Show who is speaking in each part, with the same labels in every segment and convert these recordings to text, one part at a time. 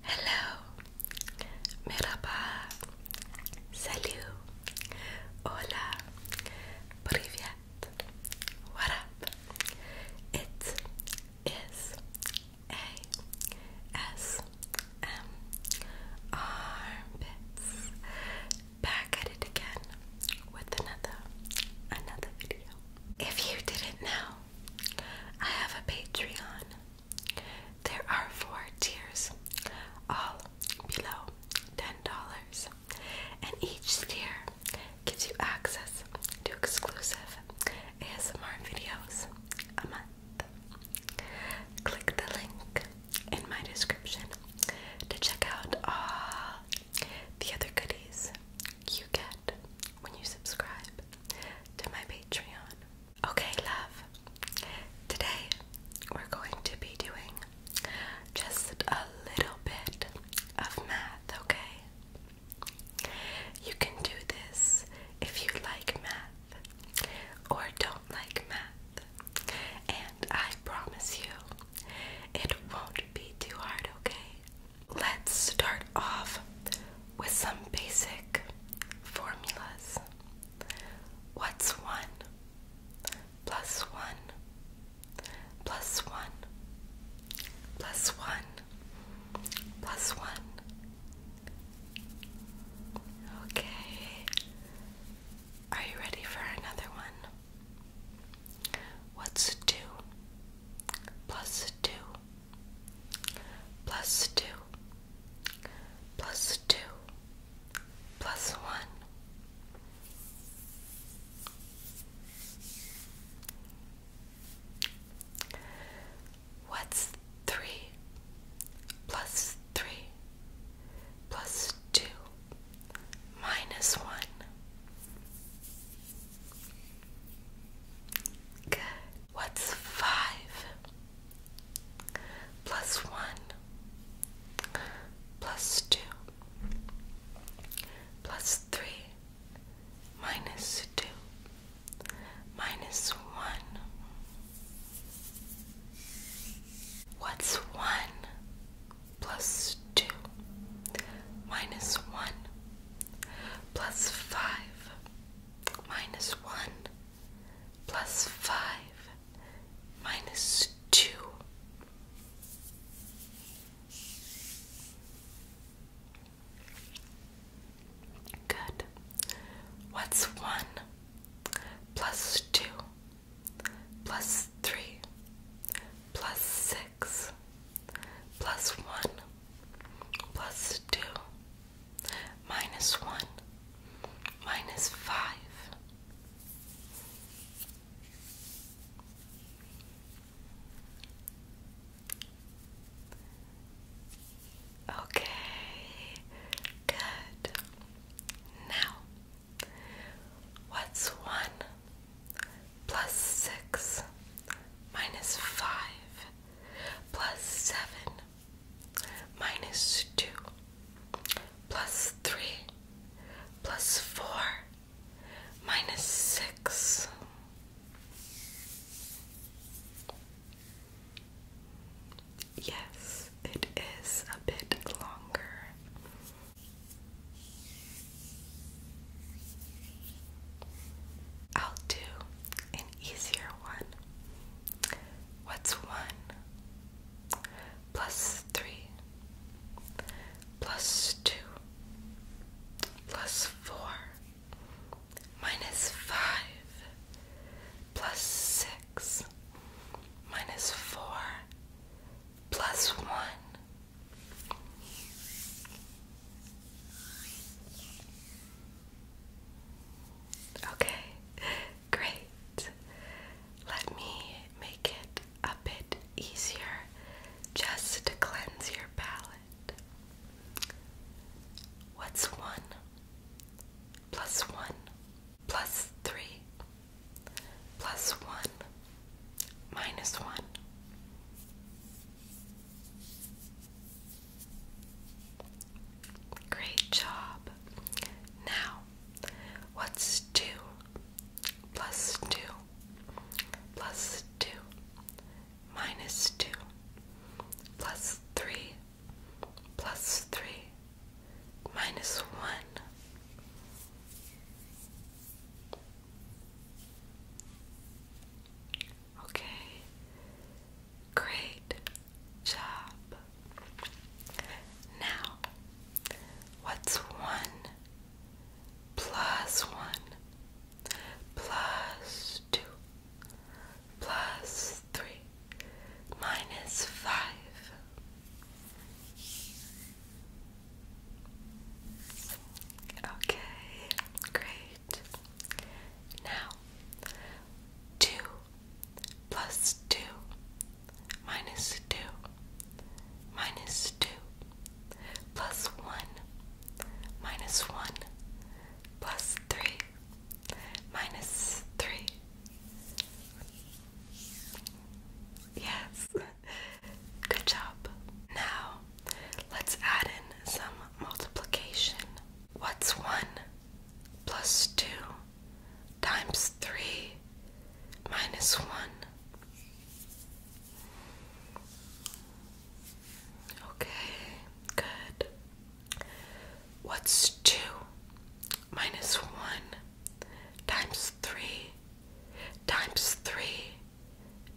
Speaker 1: Hello, merhaba, salut, hola, privyet, what up? It is a s m armpits back at it again with another another video. If you didn't know, I have a Patreon. There are four tiers, all below $10, and each tier gives you access to exclusive ASMR videos a month. Click the link in my description to check out all the other goodies you get when you subscribe to my Patreon. Okay, love. Today we're going to be doing just a little bit of math, okay? You can do this if you like math or don't like math. And I promise you, it won't be too hard, okay? Let's start off with some basic formulas. What's one plus one plus one plus one plus one? Okay. Are you ready for another one? What's two plus two plus two, plus two, plus one. What's three plus three plus two minus one? Good. What's five plus one plus two plus three minus two minus one? What's one plus two minus one plus five minus 1 plus 5 minus 2. Good. What's 1 plus 2 plus 3 plus 6 plus 1 plus 2 minus 1, minus 5. Okay, good. Now, what's 1 plus 6 minus 5 plus 7 minus 2 plus 3 plus 4 minus 6. Yes, it is a bit longer. I'll do an easier one. What's one plus three plus two plus four minus five plus six minus four plus one? Okay, great. Let me make it a bit easier just to cleanse your palate. What's one plus one plus three plus one minus one? Great job. Now, what's two plus two plus two minus two plus three plus three minus one? Okay. Great job. Now, what's one plus one plus two plus three minus five? Okay, great. Now, 2 plus 2 minus 2 minus 2 plus 1 minus 1 plus 3 minus 3 Yes. Good job. Now, let's add in some multiplication. What's 1 plus 2 times 3 minus 1. Okay, good. What's 2 minus 1 times 3 times 3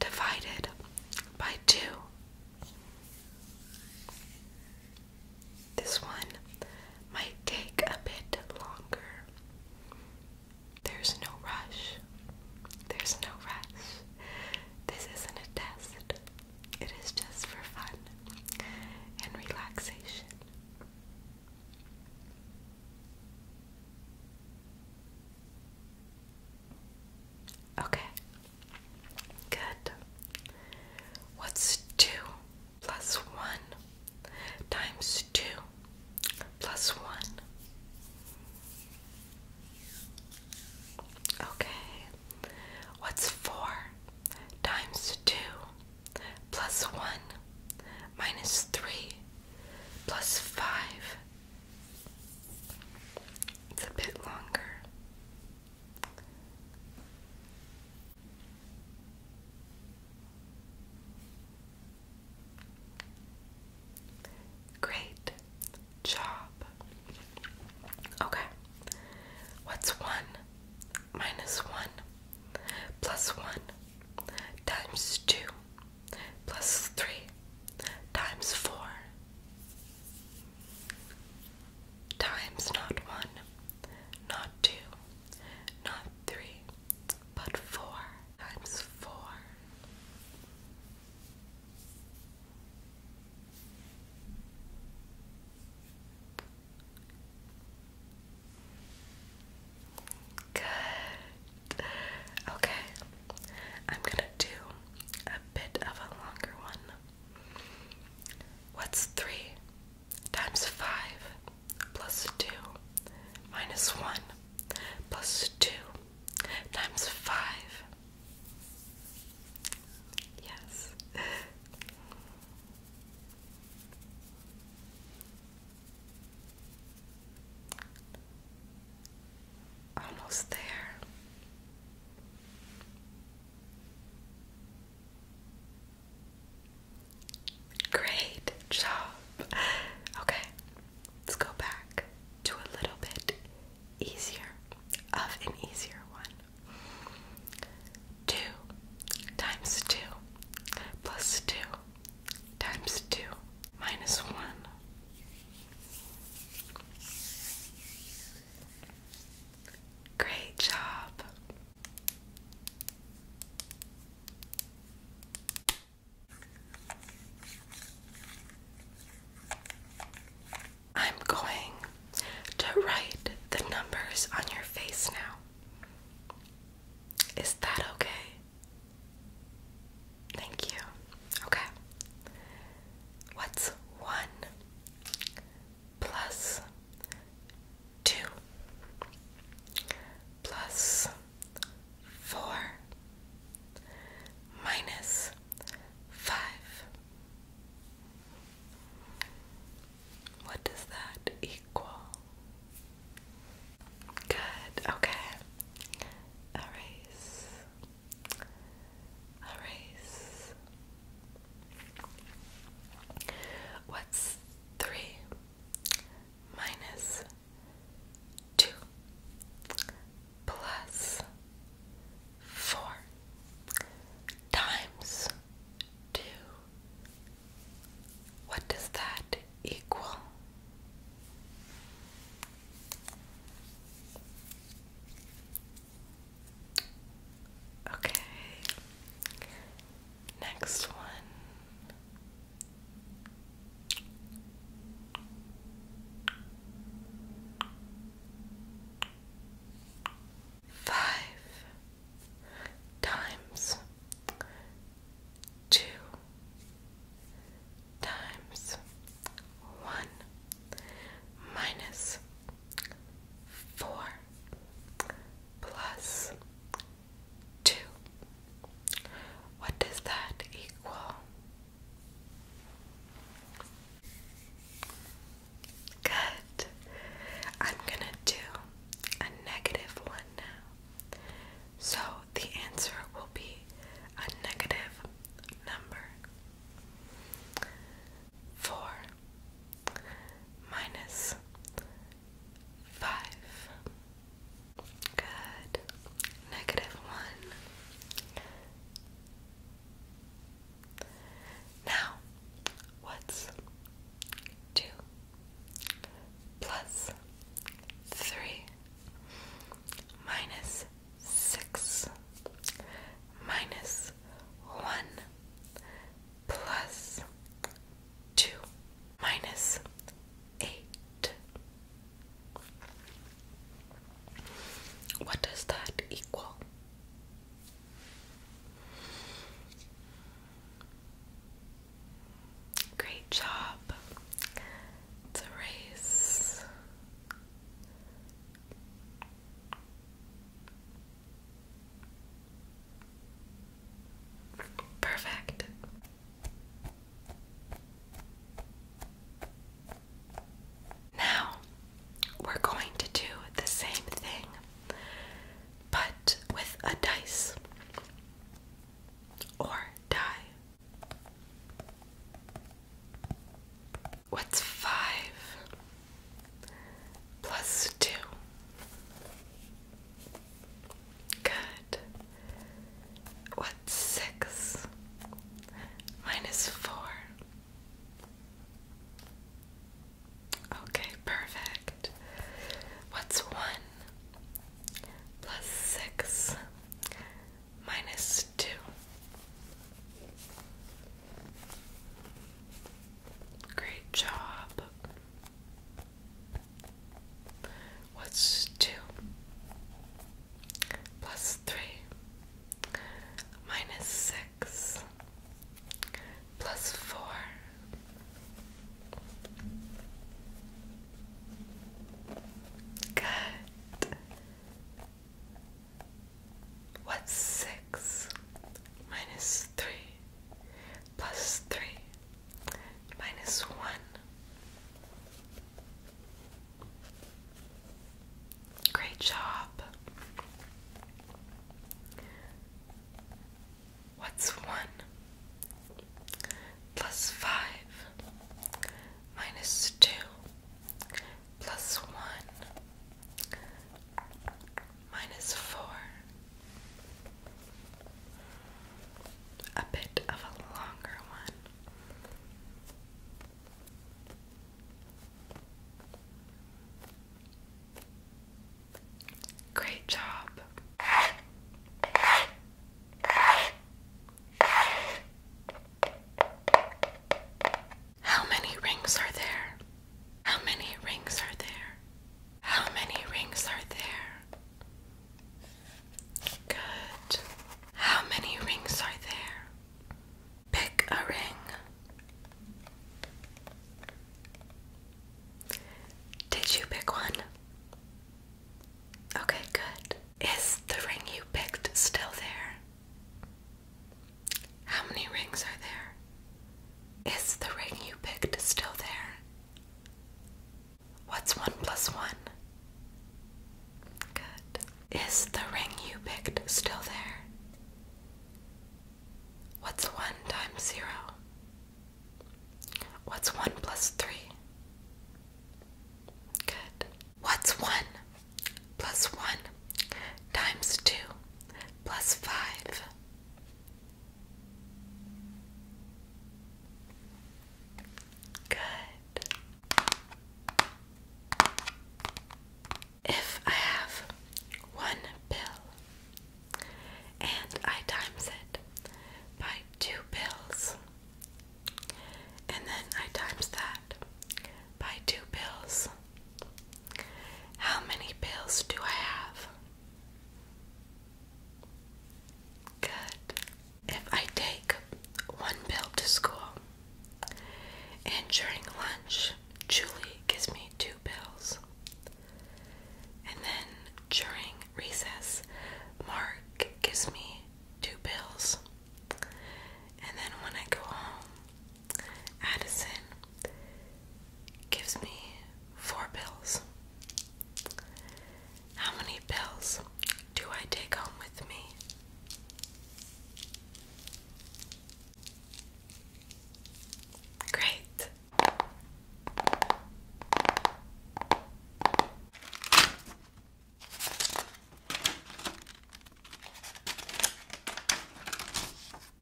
Speaker 1: divided by 2? This one might take a bit longer. There's no rush. There's no rush. This isn't a test. It is just for fun and relaxation. Okay, Good. What's 2 plus 1 times 2 plus 1? Okay. What's 4 times 2 plus 1 minus 3 plus 5? It's a bit longer. Great job. Okay. What's 1 minus 1 plus 1 times 2 plus 3 times 4 Times not one, not two, not three, but four times four. Good. Okay, I'm gonna do a bit of a longer one. What's 3 times 5 plus 2 minus 1 plus 2 times 5? Yes. Almost there. Great job. Okay, let's go back to a little bit easier of an easier one. 2 times 2 plus 2 times 2 minus 1. Great job. I'm going to write the numbers on your face now. Is that okay? Thank you. Okay. What's one? plus 2 plus 4 minus 5. What does that equal? Good, okay. Erase a What's three minus two plus four times two? What does that equal? Okay. Next one. Five times two times one minus four plus two. What does that equal? Good. I'm gonna do a negative one now. So the answer will be a negative number four minus five. Good. Negative one. Now, what's two plus three minus six minus one plus 2 minus 8. What does that equal? Great job. It's a race. Perfect. Now we're going to do the same thing, but with a dice or die. What's five plus two? Good. What's six minus four? Okay, perfect. What's one plus six minus two? Great job. What's two plus three minus six plus four? Good. What's six minus three plus three minus one? Great job. What's one plus five minus two plus one? minus four. A bit of a longer one. Great job. How many rings are there? How many rings are there? How many rings are there? Good. How many rings are there? Pick a ring. Did you pick one? Okay, good. Is the ring you picked still there? How many rings are there? Is the ring you picked still there? What's one plus one? Good. Is the ring you picked still there? What's one times zero? What's one plus three? Good. What's one? plus 1 times 2 plus 5. Good. If I have one pill and I times it by two pills, and then I times that by two pills, how many pills do I have? Good. If I take one pill to school and during lunch, Julie gives me two pills, and then during recess, Mark gives me two pills, and then when I go home, Addison gives me four pills. How many pills do I take home with me? Great.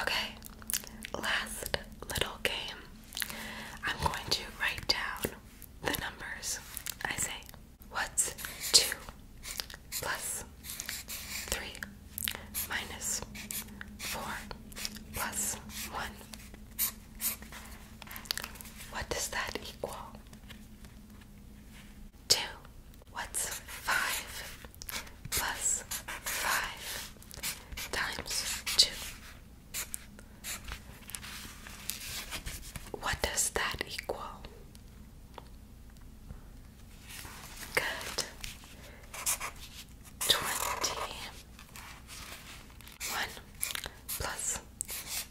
Speaker 1: Okay, last little game. I'm going to write down the numbers. I say, what's 2 plus 3 minus 4 plus 1? What does that equal? 2 What's 5 plus 5 times 2? What does that equal? Good. 20. 1 plus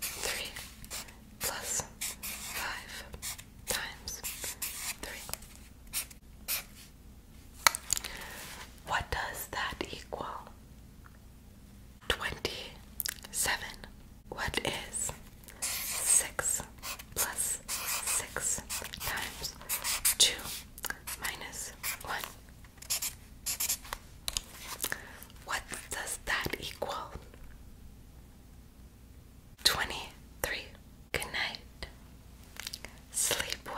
Speaker 1: 3 plus 5 times 3. What does that equal? 27. What is 6 plus 6 times 2 minus 1? What does that equal? 23. Good night. Sleep well.